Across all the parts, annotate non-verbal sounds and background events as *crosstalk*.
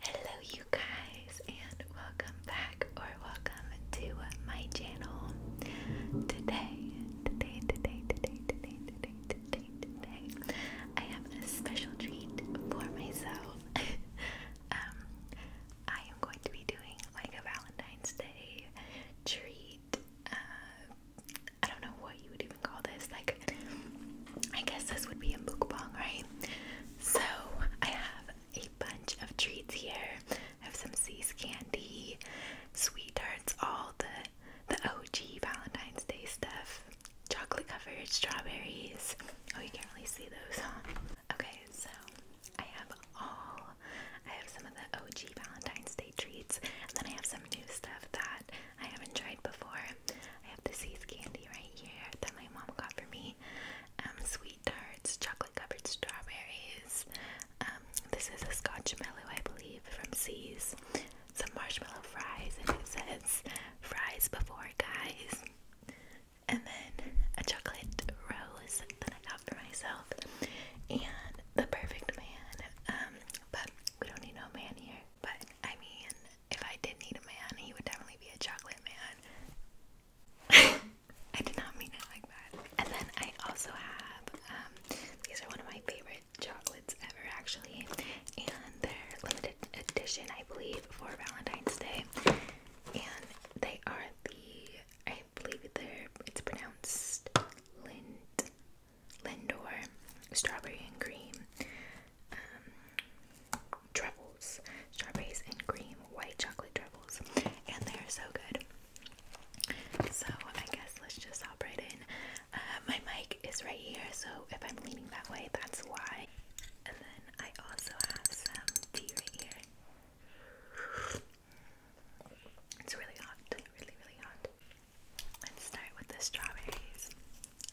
Hello, you guys, and welcome back or welcome to my channel. Today, today, today, today, today, today, today, today, I have a special treat for myself. *laughs* Um, I am going to be doing like a Valentine's Day treat. Uh, I don't know what you would even call this, like I guess this would be a mukbang, right? So I have a bunch of treats here. I have some C's candy, sweet tarts, all the the OG Valentine's Day stuff, chocolate covered strawberries. Oh, you can't really see those, huh? Okay, so I have all. I have some of the OG Valentine's Day treats, and then I have some new stuff that I haven't tried before. I have the C's candy right here that my mom got for me. Um, sweet tarts, chocolate covered strawberries. Um, this is a Scotch mellow, I believe, from C's. Some marshmallow fries, and it says fries before guys. And then a chocolate rose that I got for myself. And the perfect man. Um, but we don't need no man here. But I mean, if I did need a man, he would definitely be a chocolate man. *laughs* I did not mean it like that. And then I also have, um, these are one of my favorite chocolates ever, actually, and they're limited edition, I believe, for Valentine's Day. And they are the, I believe they're, it's pronounced Lind, Lindor, strawberry and cream. Um, truffles, strawberries and cream, white chocolate truffles, and they are so good. So I guess let's just hop right in. Uh, my mic is right here, so if I'm leaning that way, that's why. And then I also have some tea right here. It's really hot, really, really hot. Let's start with the strawberries.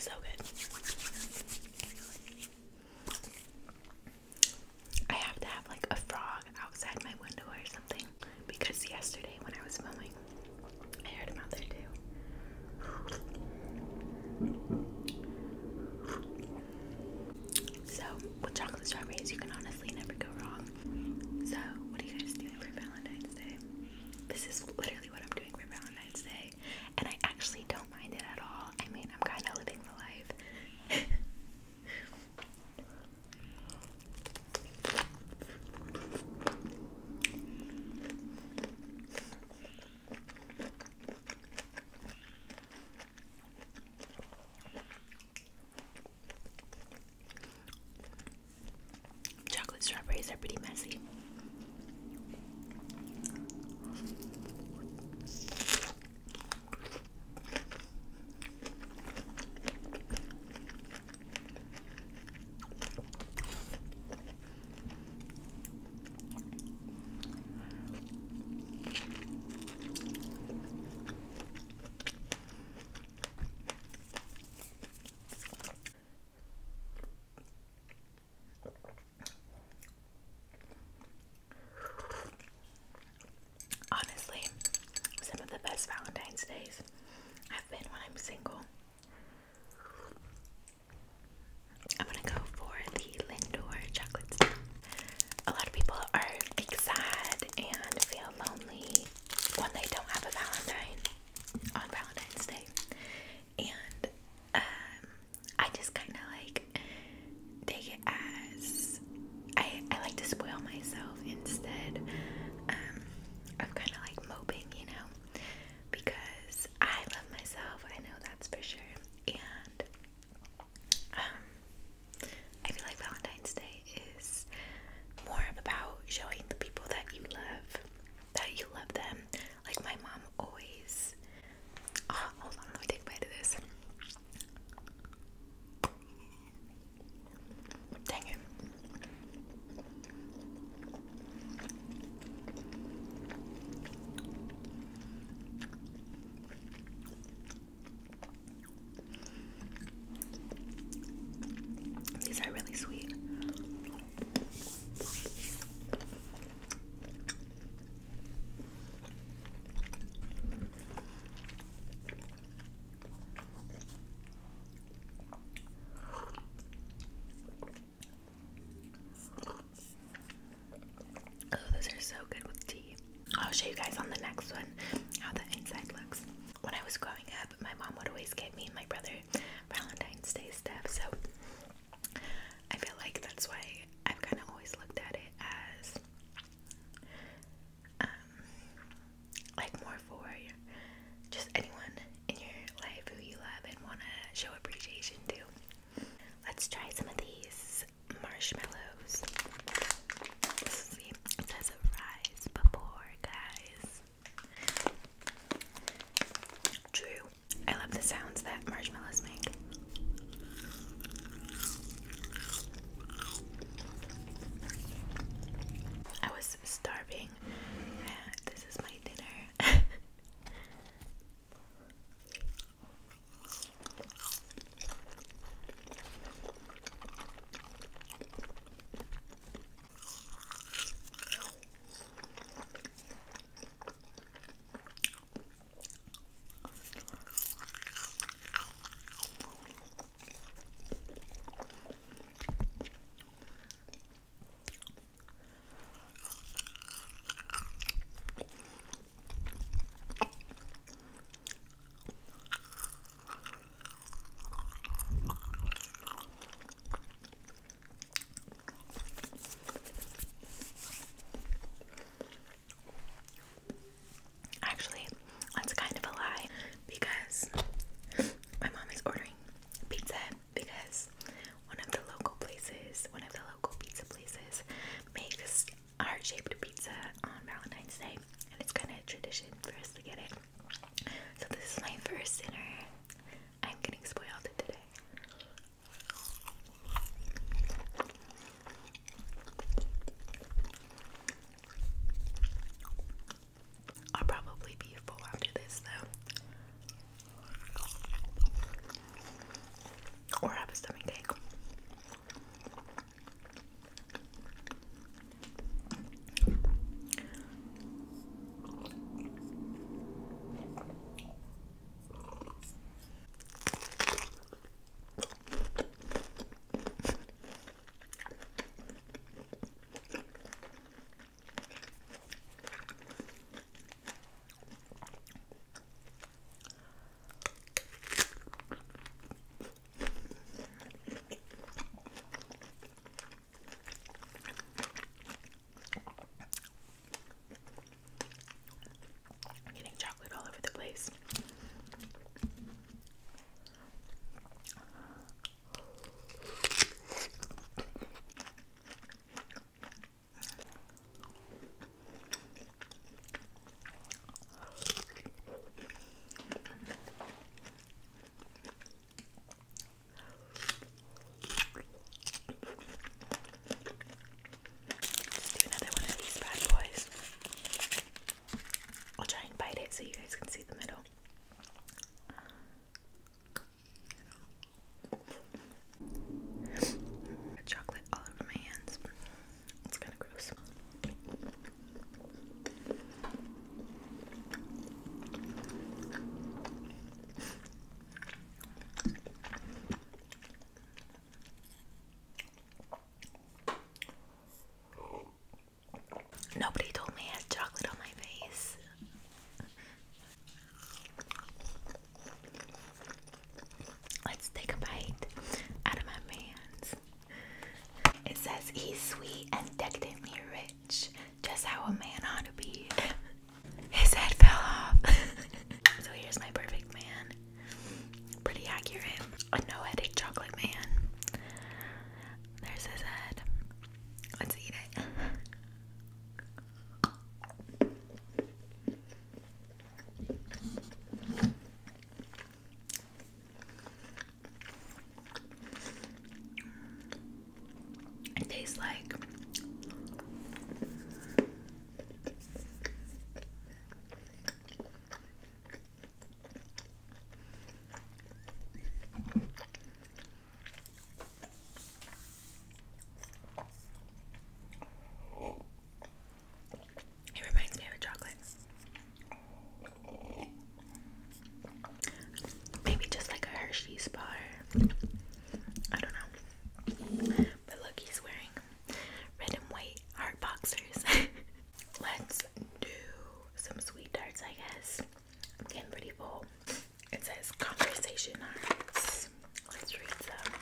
So good. I have to have like a frog outside my window or something because yesterday when I was filming I heard him out there too. So with chocolate strawberries, you can honestly never go wrong. So what are you guys doing for Valentine's Day? This is literally what I'm doing for Valentine's Day, and I actually don't mind it at all. I mean, I'm kind of living the life. *laughs* Chocolate strawberries are pretty messy. Honestly, some of the best Valentine's days have been when I'm single I'm gonna go for the Lindor chocolate stuff. A lot of people are like sad and feel lonely when they don't have a Valentine on Valentine's Day, and um, I just kind of like take it as I like to spoil myself instead. Um, of kind of like moping, you know because I love myself. I know that's for sure. And um, I feel like Valentine's Day is more about showing the people that you love that you love them. Like my mom always. Oh, hold on, let me take a of this. Dang it. These are really sweet. Oh, those are so good with tea. I'll show you guys on the next one how the inside looks. When I was growing up, my mom would always get me and my brother Valentine's Day stuff, so I feel like that's why I've kind of always looked at it as um, like more for just anyone in your life who you love and want to show appreciation to. Let's try some of these marshmallows. it says rise before, guys. True. I love the sounds that marshmallows make. I was starving. Uh, this is my my dinner. *laughs* Actually, that's kind of a lie because my mom is ordering pizza because one of the local places, one of the local pizza places, makes heart shaped pizza on Valentine's Day, and it's kind of a tradition for us to get it. So, this is my first dinner. I'm getting spoiled today. I'll probably be full after this though. Or have a stomach I'm getting chocolate all over the place another one of these bad boys. I'll try and bite it so you guys can see the middle. Chocolate all over my hands. It's kind of gross. Nobody told me I had chocolate on my face. Let's take a bite out of my man's. It says he's sweet and decadently rich, just how a man ought to be. *laughs* His head fell off. *laughs* so here's my perfect man. Pretty accurate. A no headache chocolate man. There's his head. Let's eat it. *laughs* It tastes like it reminds me of a chocolate. Maybe just like a Hershey's bar. I don't know. But look, he's wearing red and white heart boxers. *laughs* Let's do some sweet tarts, I guess. I'm getting pretty full. It says conversation arts. Let's read some.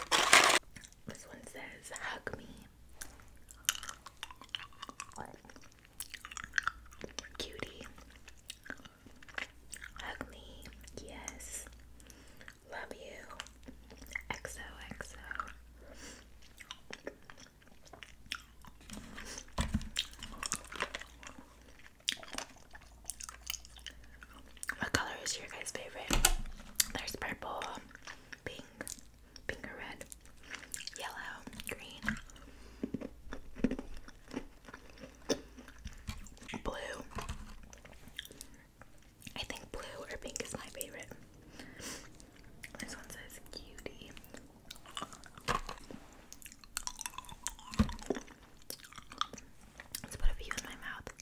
This one says, Hug me. Cutie. Hug me. Yes. Love you. XOXO. What color is your guys' favorite? There's purple, pink, pink or red, yellow, green, blue. I think blue or pink is my favorite. This one says cutie. Let's put a few in my mouth.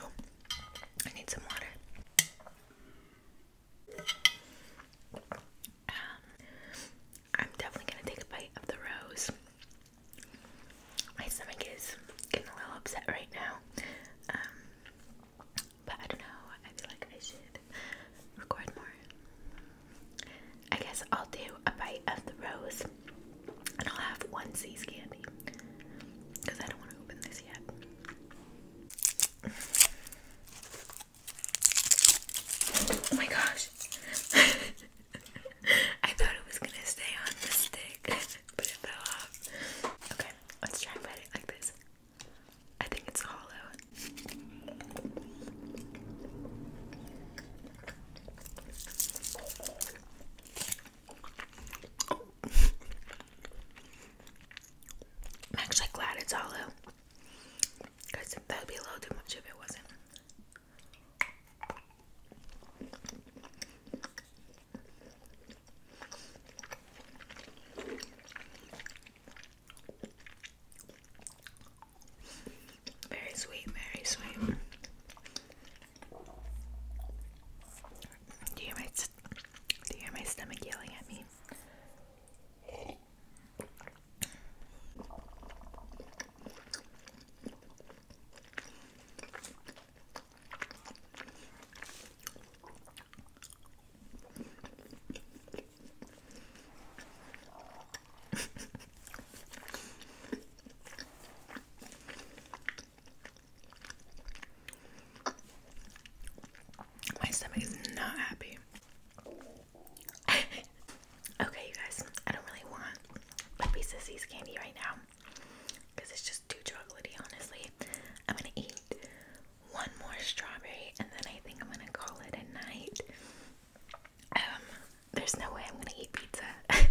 Oh, I need some water. Um, I'm definitely gonna take a bite of the rose. My stomach is getting a little upset right now. Um, but I don't know, I feel like I should record more. I guess I'll do a bite of the rose and I'll have one C's candy because I don't want to open this yet. *laughs* Oh my gosh. *laughs* I thought it was going to stay on the stick, *laughs* but it fell off. Okay, let's try and put it like this. I think it's hollow. I'm actually glad it's hollow. Because that would be a little too much if it wasn't. Very sweet, very sweet. Do you hear my do you hear my stomach yelling at me? My stomach is not happy. *laughs* okay, you guys, I don't really want a piece of C's candy right now because it's just too chocolatey, honestly. I'm gonna eat one more strawberry and then I think I'm gonna call it a night. Um, there's no way I'm gonna eat pizza. *laughs*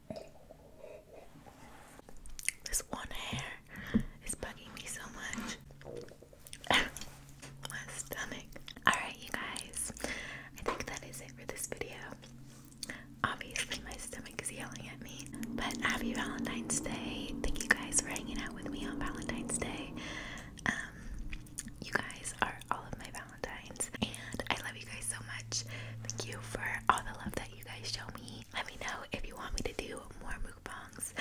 This one hair is bugging me so much. *laughs* My stomach. Alright, you guys. I think that is it for this video. Obviously, my stomach is yelling at me. But happy Valentine's Day. Thank you guys for hanging out with me on Valentine's Day. Um, you guys are all of my Valentines. And I love you guys so much. Thank you for all the love that you guys show me. Let me know if you want me to do more mukbangs.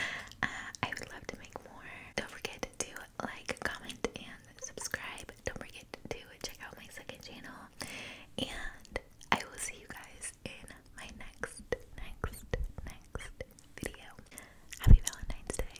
Uh, I would love to make more. Don't forget to do like, comment, and subscribe. Don't forget to check out my second channel. And I will see you guys in my next, next, next video. Happy Valentine's Day.